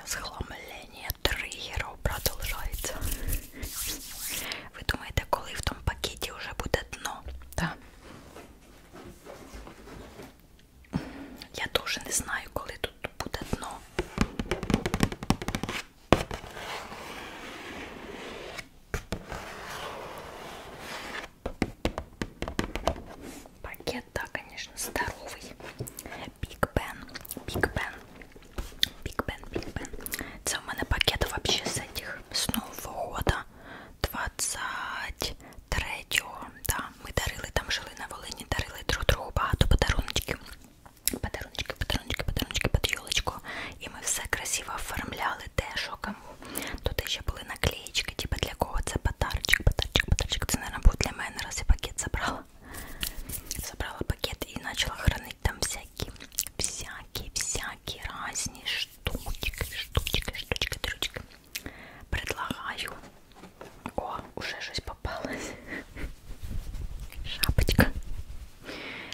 Розхламлення тригерів продовжується. Ви думаєте, коли в тому пакеті вже буде дно? Так. Я дуже не знаю, коли тут буде дно. Пакет, да, конечно, здоровый. Биг Бен, Биг Бен. Биг Бен, Биг Бен. Це у мене пакет вообще з цих з Нового года 23-го. Да, ми дарили, там жили на Волині, дарили друг другу багато подарунків. Подарунки, подарунки, подарунки під юлочку. І ми все красиво оформляли те, що кому. Тут ще були наклеечки, типу для кого це подарочок, подарочок, подарочок. Це, мабуть, буде для мене, раз я пакет забрала. Собрала пакет и начала хранить там всякие, всякие, всякие разные штучки, штучки, штучки, трючки. Предлагаю. О, уже щось попалось. Шапочка.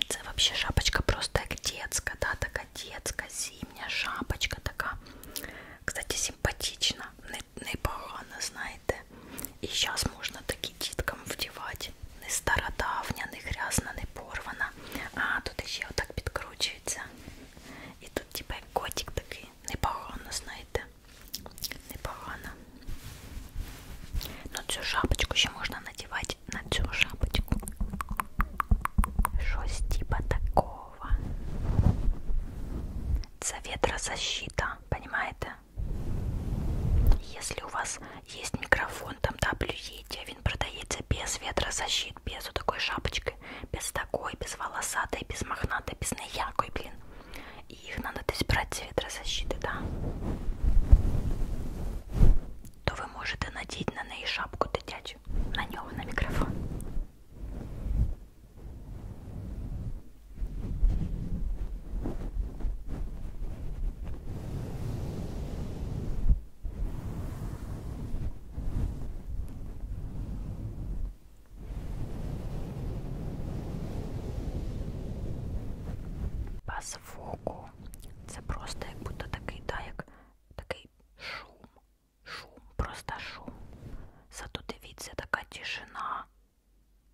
Це вообще шапочка просто як детська, да, така детська, зимня шапочка така. Кстати, симпатична, непогано, не знаєте знаєте. І зараз можна такі діткам вдівати. Не стародавня, не грязна, не порвана. А, тут ще отак підкручується. І тут типа котик такий. Непогано, знаєте. Непогано. Ну цю шапочку ще можна надівати на цю шапочку. Щось типа такого. Це ветрозащита, понимаєте? Если у вас есть микрофон, там WET, а він продається без ветрозащит, без такой шапочки, без такой, без волосатой, без мохнатой, без неяркой, блин. И их надо десь брать з ветрозащиты, да? То ви можете надіти на неї шапку дитячу, на нього, на мікрофон. По звуку це просто як будто такий, да, як такий шум, шум, просто шум. Зато дивіться, така тишина.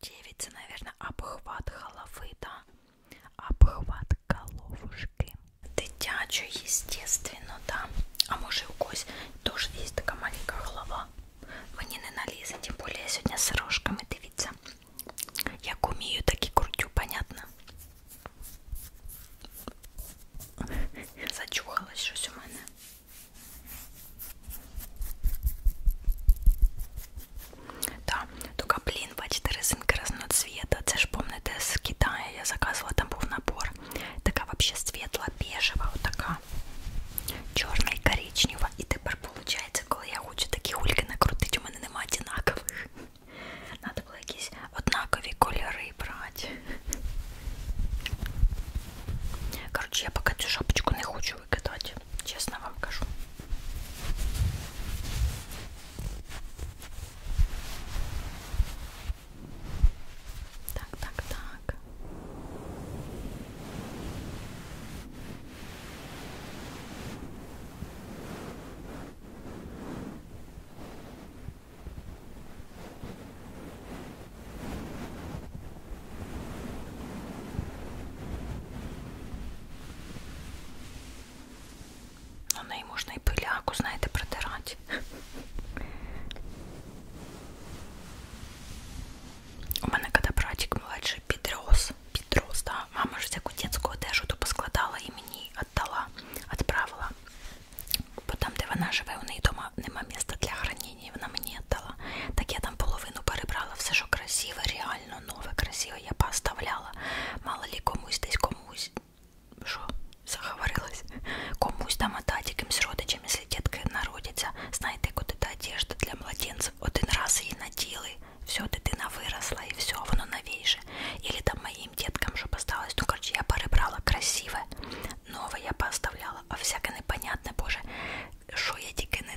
девица, наверное, обхват головы, да? Обхват головушки. Дитячу, естественно, да. А може у когось теж є така маленька голова. Мені не налізе, тим більше я сьогодні з рожками, дивіться. Як умію, так і крутю, понятно? Зачухалось щось у мене. Да, Только, блін, бачите, резинки різного цвіта. Це ж помните з Китаю, я заказувала, там був набор. Така взагалі світла, бежева, отака. Чорна і коричнева. І тепер, виходить, коли я хочу такі гульки накрутити, у мене немає однакових. Надо було якісь однакові кольори брати. Коротше, я поки цю шапочку не хочу хочу выгадать, честно вам скажу. Так, так, так. Ну, на неї можна і пиляку, знаєте, протирати. У мене коли братик младший підрос, підрос, да, мама ж всяку дитячу одежу то поскладала і мені віддала, відправила. Бо там, де вона живе, у неї вдома нема місця для хранення, вона мені віддала. Так я там половину перебрала, все, що красиве, реально нормально, новое, красиво я пооставляла. Мало ли комусь десь комусь. Що, заговорилась? Комусь там отдать якимсь родичам, если детка народиться. Знаєте, куди та одежда для младенців? Один раз її наділи, все, дитина виросла і все, воно новейше. Или там моїм деткам вже осталось. Ну, короче, я перебрала красиве, нове я пооставляла, а всяке непонятне, боже, що я тільки не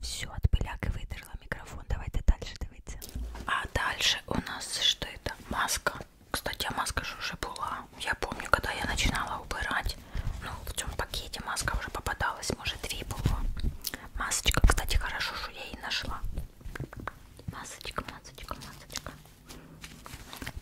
Все, от беляки видерла микрофон. Давайте дальше дивитися. А дальше у нас что это? Маска. Кстати, а маска же уже была. Я помню, когда я начинала убирать, ну, в том пакете маска уже попадалась, может, три было. Масочка, кстати, хорошо, что я и нашла масочка, масочка, масочка.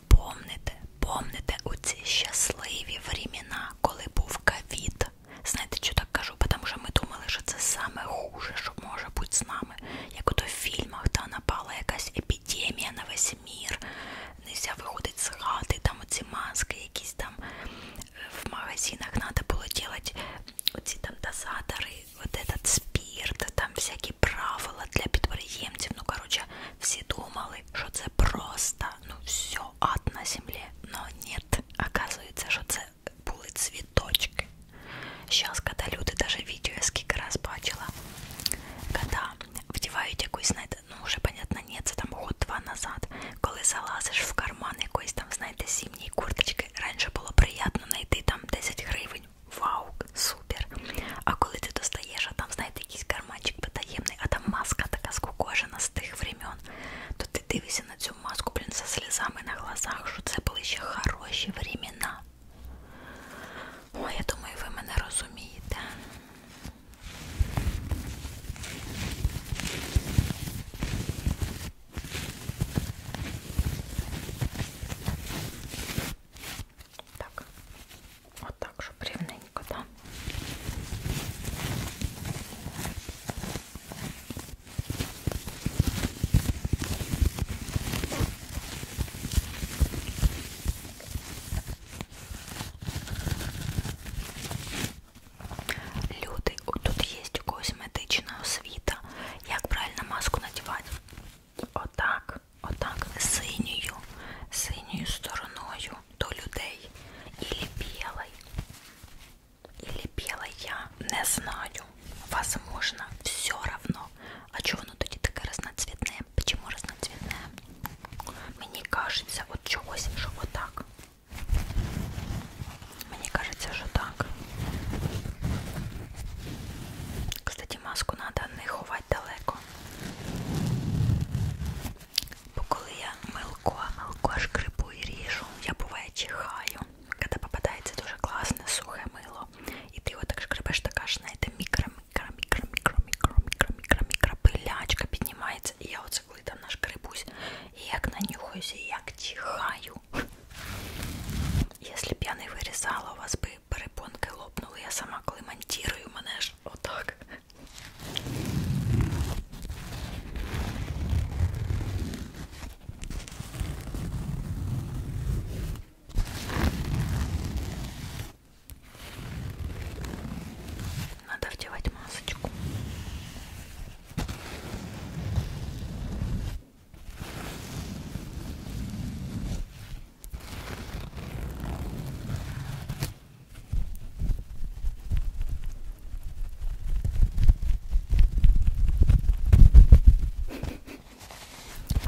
Помните, помните у ці щасливі времена, коли був ковід. Знаєте, що так кажу? Тому що ми думали, що це саме хуже, що може бути з нами. Як ото в фільмах та напала якась епідемія на весь мір, нельзя виходить з хати, там оці маски, якісь там в магазинах треба було робити оці там дозатори, от этот спірт, там всякі правила для підприємців. Ну, коротше, всі думали, що це просто, ну, все, ад на землі. Но нет, оказується, що це були цвіточки. Сейчас, когда люди, даже видео я сколько раз бачила, когда вдівають якусь, знаєте, ну, вже, понятно, нет, це там год-два назад, коли залазиш в карман якоїсь там, знаєте, зимній курточки раніше було приємно знайти там 10 гривень. Вау, супер! А коли ти достаєш, а там, знаєте, якийсь карманчик потаємний, а там маска така скукожена з тих времен, то ти дивишся на цю маску, блін, за слізами на глазах, що це були ще хороші времена. Ой, я думаю, ви мене розумієте. Так, вот так же бревненько, да? Люди, тут є у когось медична освіта, Як правильно маску надівати? Отак, отак, синьою, синьою стороною до людей. Ілі білий. Ілі білий я не знаю. Возможно, все равно. А чого воно тоді таке разноцвітне? Чому разноцвітне? Мені кажеться, от чогось, що отак. Мне кажется, что так. Кстати, маску треба не ховати далеко. Бо коли я милко, милко шкрипу і ріжу, я буває чихаю. Коли попадається дуже класне сухе мило. І ти його так шкрипеш, така ж, знаєте, мікро-мікро-мікро-мікро-мікро-мікро-мікро пилячка піднімається. І я оце коли там наш крипусь, і як нанюхаюся, і як чихаю пою. Если б я не вирізала, у вас би перепонки лопнули. Я сама коли монтірую, мене ж отак. Надо вдевать масочку.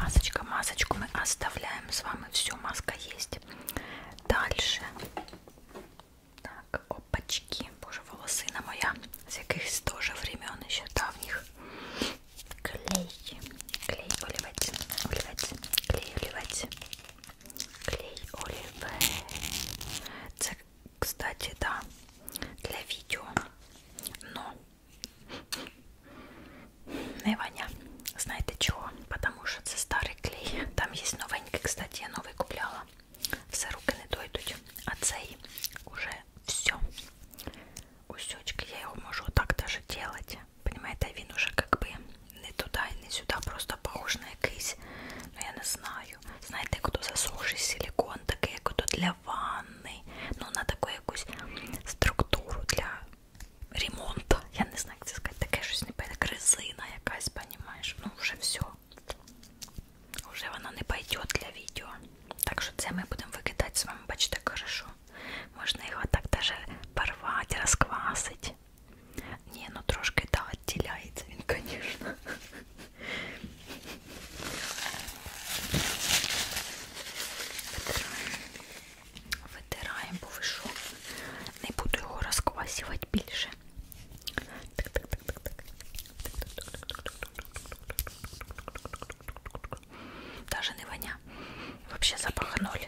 Масочка, масочку мы оставляем с вами. Все, маска есть. Дальше. Так, опачки. Боже, волосина моя. С якихось теж времен ще давніх клей, клей оливать, оливать, клей оливать, клей оливать. Це, кстати, да, для видео, но ну. не Ваня, знаете чего? Потому что это старый клей. Там есть новенький, кстати, я новый купляла. Все руки не дойдуть, а цей уже все. Усечка, я его могу так даже делать. Понимаете, а вин уже как бы не туда и не сюда, просто похож на якийсь. Ну я не знаю. Знаєте, як ото засохший силикон, такий, як ото для ванни. Ну, на таку якусь структуру для ремонту. Я не знаю, як це сказати, таке щось не пойде. Резина якась, понімаєш. Ну, вже все. Уже воно не пойдет для відео. Так що це ми будемо викидати з вами, бачите, хорошо. Можна його так даже порвати, розквасити. Ні, ну трошки да, відділяється він, звісно. Витираємо. Витираємо, бо ви що? Не буду його розквасювати більше. Так, так, так, так, так. Даже не воня. Вообще запах ноль.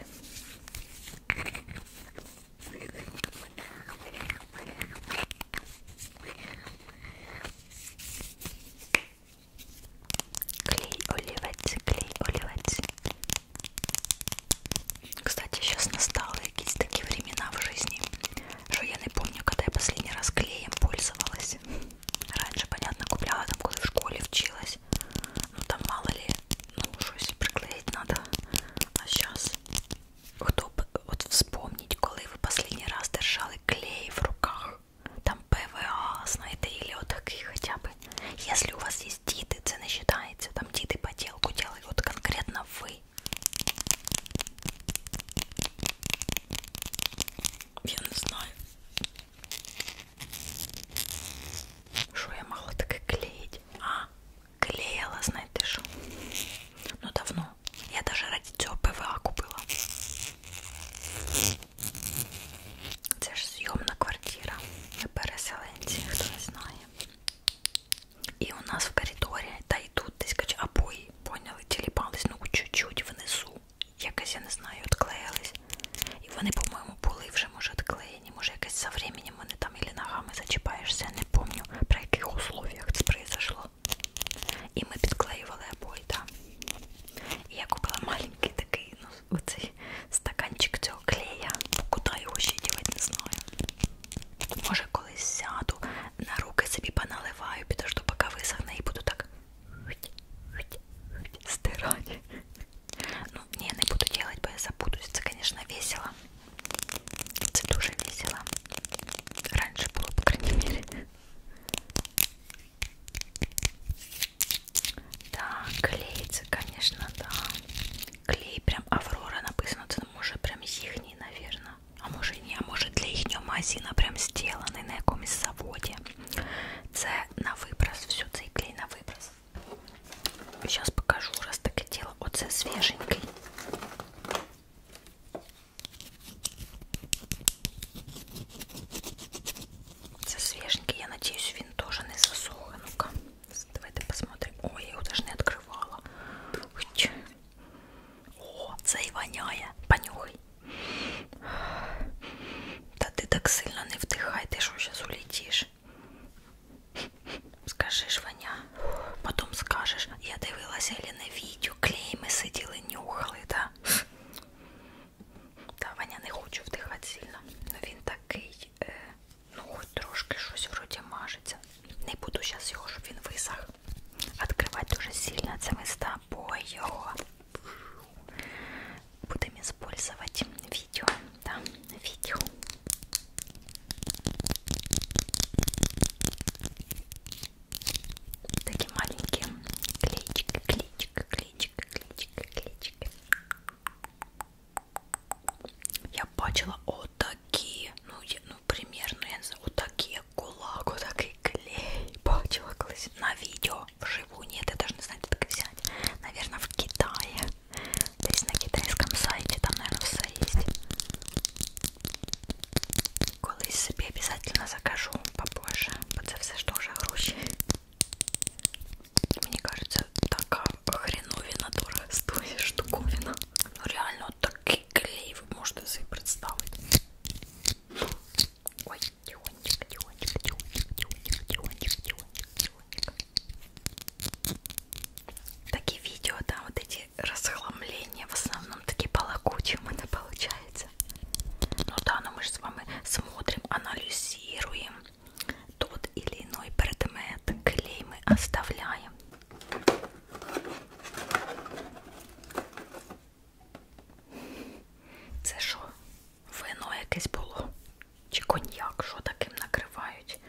Клей оливець, клей оливець. Кстати, сейчас настали якісь такі времена в жизни, что я не помню, когда я последний раз клеем пользовалась. Раньше, понятно, купляла там, когда в школе училась. Ну там мало ли, ну щось приклеить надо. А сейчас хто б от вспомнить, коли ви последній раз держали клей в руках, там ПВА, знаєте, или отакий от хоча б. Если у вас есть діти, це не вважається, там діти поделку делают, конкретно ви. Я не знаю. Що я могла таке клеїть? А, клеїла, знаєте що? Ну давно. Я даже ради цього ПВА купила. Це ж зйомна квартира. Ми переселенці, хто не знає. І у нас в коридорі, та й тут десь кача обої, поняли, тіліпались, ну чуть-чуть внизу якась, я не знаю, відклеїлись. І вони, по-моєму, були вже, може, відклеєні, може, якось за временем вони там і ногами зачіпаєшся, я не пам'ятаю, при яких условіях це произошло. І ми підклеювали обої, так. І я купила маленький такий, ну, оцей стаканчик цього клея. Куди його ще дівати, не знаю. Може, колись сяду, на руки собі поналиваю, підожду, поки висохне, і буду так стирать. Ну, не, не буду делать, бо я забудусь. Это, конечно, весело. Это дуже весело. Раньше было, по крайней мере. Да, клеится, конечно, да. Клей прям Аврора написано. Це ну, може прям їхній, наверное. А може ні, а може для їхнього магазина прям зроблений на якомусь заводі. Це на виброс, всю цей клей на виброс. Зараз покажу, раз таке діло. Оце свіженький. Це свеженький, я надеюсь, він тоже не засох. Ну-ка, давайте посмотрим. Ой, я его даже не открывала. О, це і воняє. Понюхай. Та ти так сильно не вдихай, ти що зараз улетиш. Скажи, Ваня, потім скажеш, я дивилася Еліне відео, клейми сиділи, нюхали, да? Та Ваня не хочу вдихати сильно. Но ну, він такий, е, ну хоч трошки щось вроді мажеться. Не буду зараз його, щоб він висах. Відкривати дуже сильно це ми з тобою його будем использовать видео, да, видео. Такие маленькие клички, клички, клички, клички, клички. Я бачила отакі, ну, ну примерно, я не знаю, отакі, як кулак, отакі Жидкий клей. Почваклась на видео. Вживую нет, я даже не знаю, где так взять. Наверное, в Китае. То есть на китайском сайте там, наверное, все есть. Колись себе обязательно закажу попозже. Вот это все что же гроші. Мне кажется, такая хреновина дорого стоит штуковина. Ну реально, вот такой клей вы можете себе представить. Ой, Тихонечко, тихонечко, тихонечко, тихонечко, тихонечко, тихонечко, Такие видео, да, вот эти расхламления в основном такие полокучие у меня получается. Ну да, но мы же с вами смотрим, анализируем тот или иной предмет, клей мы оставляем. Це що? Вино якесь було? Чи коньяк, що таким накривають?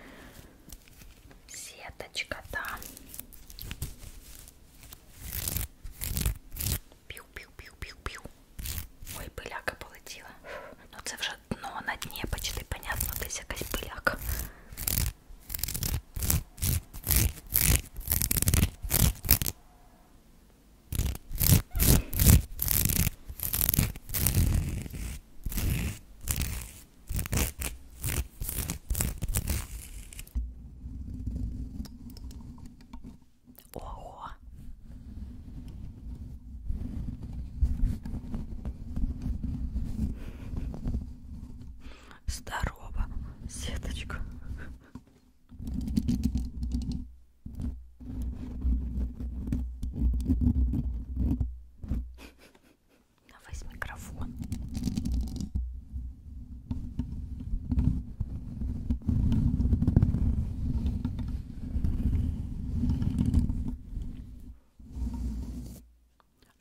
Сіточка, да. Пів-пів-пів-пів-пів. Ой, пиляка полетіла. Ну це вже дно на дні, почти понятно, десь якась пиляка. Ого! Здорово, сеточка. Давай с микрофон.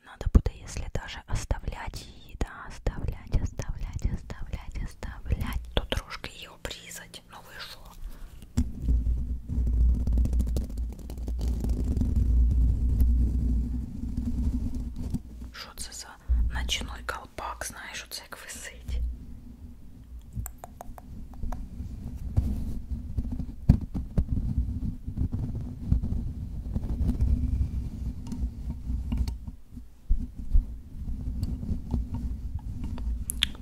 Надо будет, если даже оставлять ей, да, оставлять, оставлять, оставлять, оставлять, то трошки ее обрізати сказать, но ну вышло. Что это за ночной колпак, знаешь, оце як висить.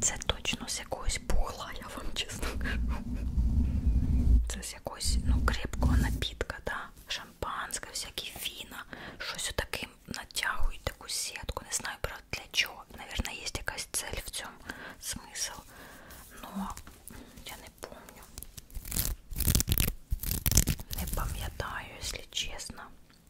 Це точно з якогось пухла, я вам чесно кажу. Це з якогось ну, крепкого напітка, да? шампанське, всякі віна, щось отаким натягують таку сітку. Не знаю, правда, для чого. Наверное, є якась цель в цьому смисл. Но я не помню. Не пам'ятаю, якщо чесно.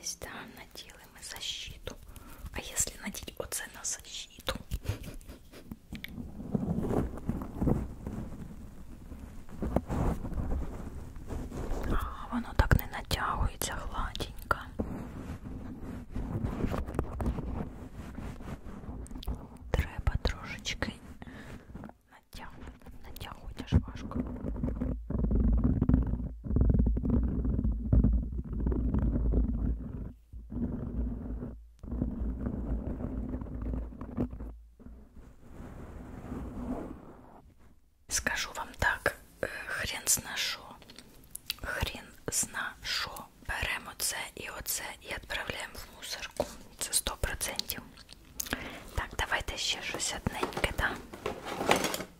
Есть, да, наделаем и защиту. А если надеть оце на защиту? А, воно так не натягується гладенько. Треба трошечки натягнути, натягувати аж важко. Скажу вам так, хрен знашу, хрен знашу. Беремо це і оце і відправляємо в мусорку. Це 100%. Так, давайте ще щось одненьке, так? Да?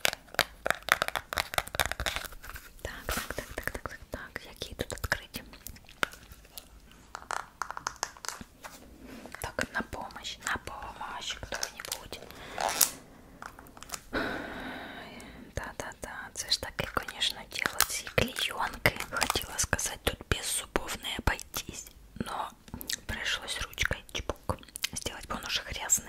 Так, так, так, так, так, так, так. Какие тут открыть? Так, на помощь, на помощь кто-нибудь. Да-да-да, це ж таке, конечно, дело с клеенкой. Хотела сказать, тут без зубов не обойтись, но пришлось ручкой чпок сделать, потому что грязный.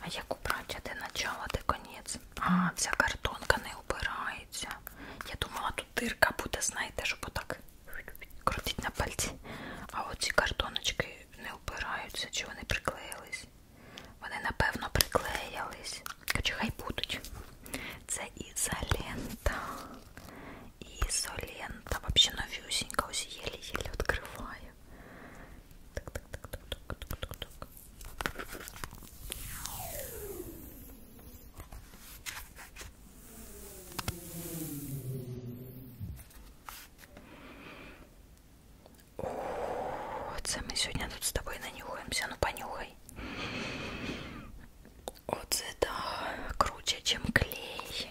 А як убрати, де начало, де конець? А, вся картонка не убирається. Я думала, тут дирка буде, знаєте, щоб отак крутить на пальці. А оці картоночки не убираються, чи вони приклеїлись? Вони, напевно, приклеїлись. Чи хай будуть. Це ізолента. Ізолента. Взагалі новюсінька, ось єлі-єлі відкриваю. Так, так, так, так, так, так, так, так. О, це ми сьогодні тут з тобою нанюхаємося, ну понюхай. Оце да, круче, чим клей.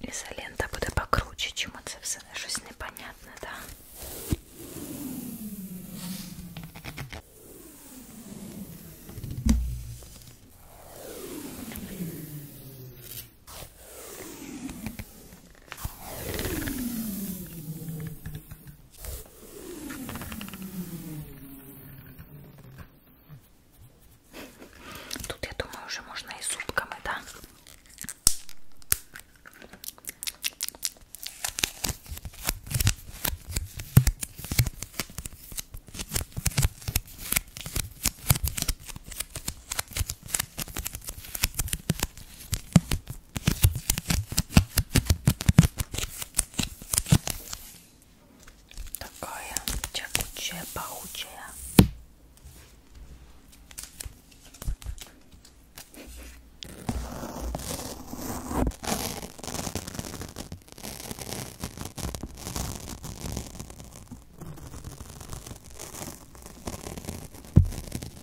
Ізолента буде покруче, чому це все не щось непонятне, так? Да? Тут, я думаю, уже можно и зубками, да? Такая тягучая, пахучая.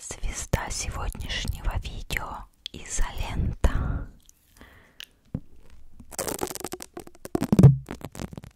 Звезда сегодняшнего видео изолента.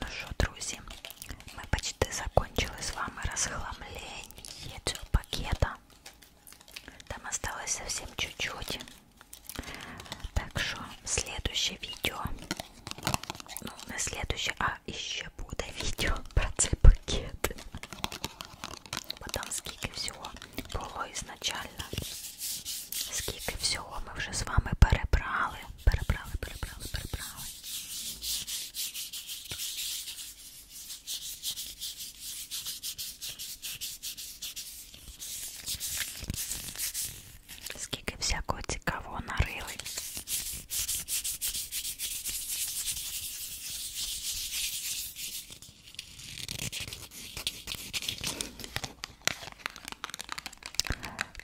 Ну що, друзі, ми почти закончили з вами розхламлення цього пакета. Там осталось совсем чуть-чуть. Так що следующее відео. Ну, не следующее, а іще буде відео про цей пакет. Бо там скільки всього було ізначально. Скільки всього ми вже з вами перебрали перебрали, перебрали, перебрали. Скільки всякого цікавого нарили.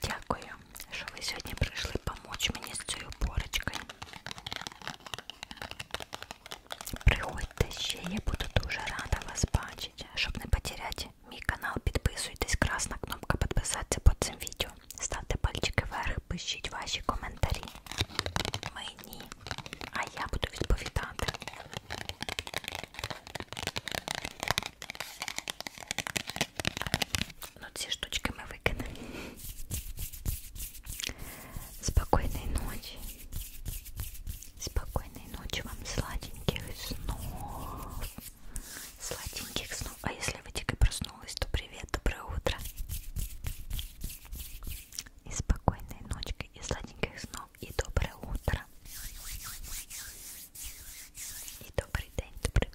Дякую що ви сьогодні прийшли помочь мені з цією порочкою. Приходьте ще, я буду дуже рада вас бачити. Щоб не потеряти мій канал, підписуйтесь, красна кнопка підписатися під цим відео. Ставте пальчики вверх, пишіть ваші коментарі. Мені, а я буду відповідати. Но ну, все штучки мы выкинули. Спокойной ночи. Спокойной ночи вам, сладеньких снов. Сладеньких снов. А если вы только проснулась, то привет, доброе утро. И спокойной ночки, и сладеньких снов, и доброе утро. И добрый день, добрый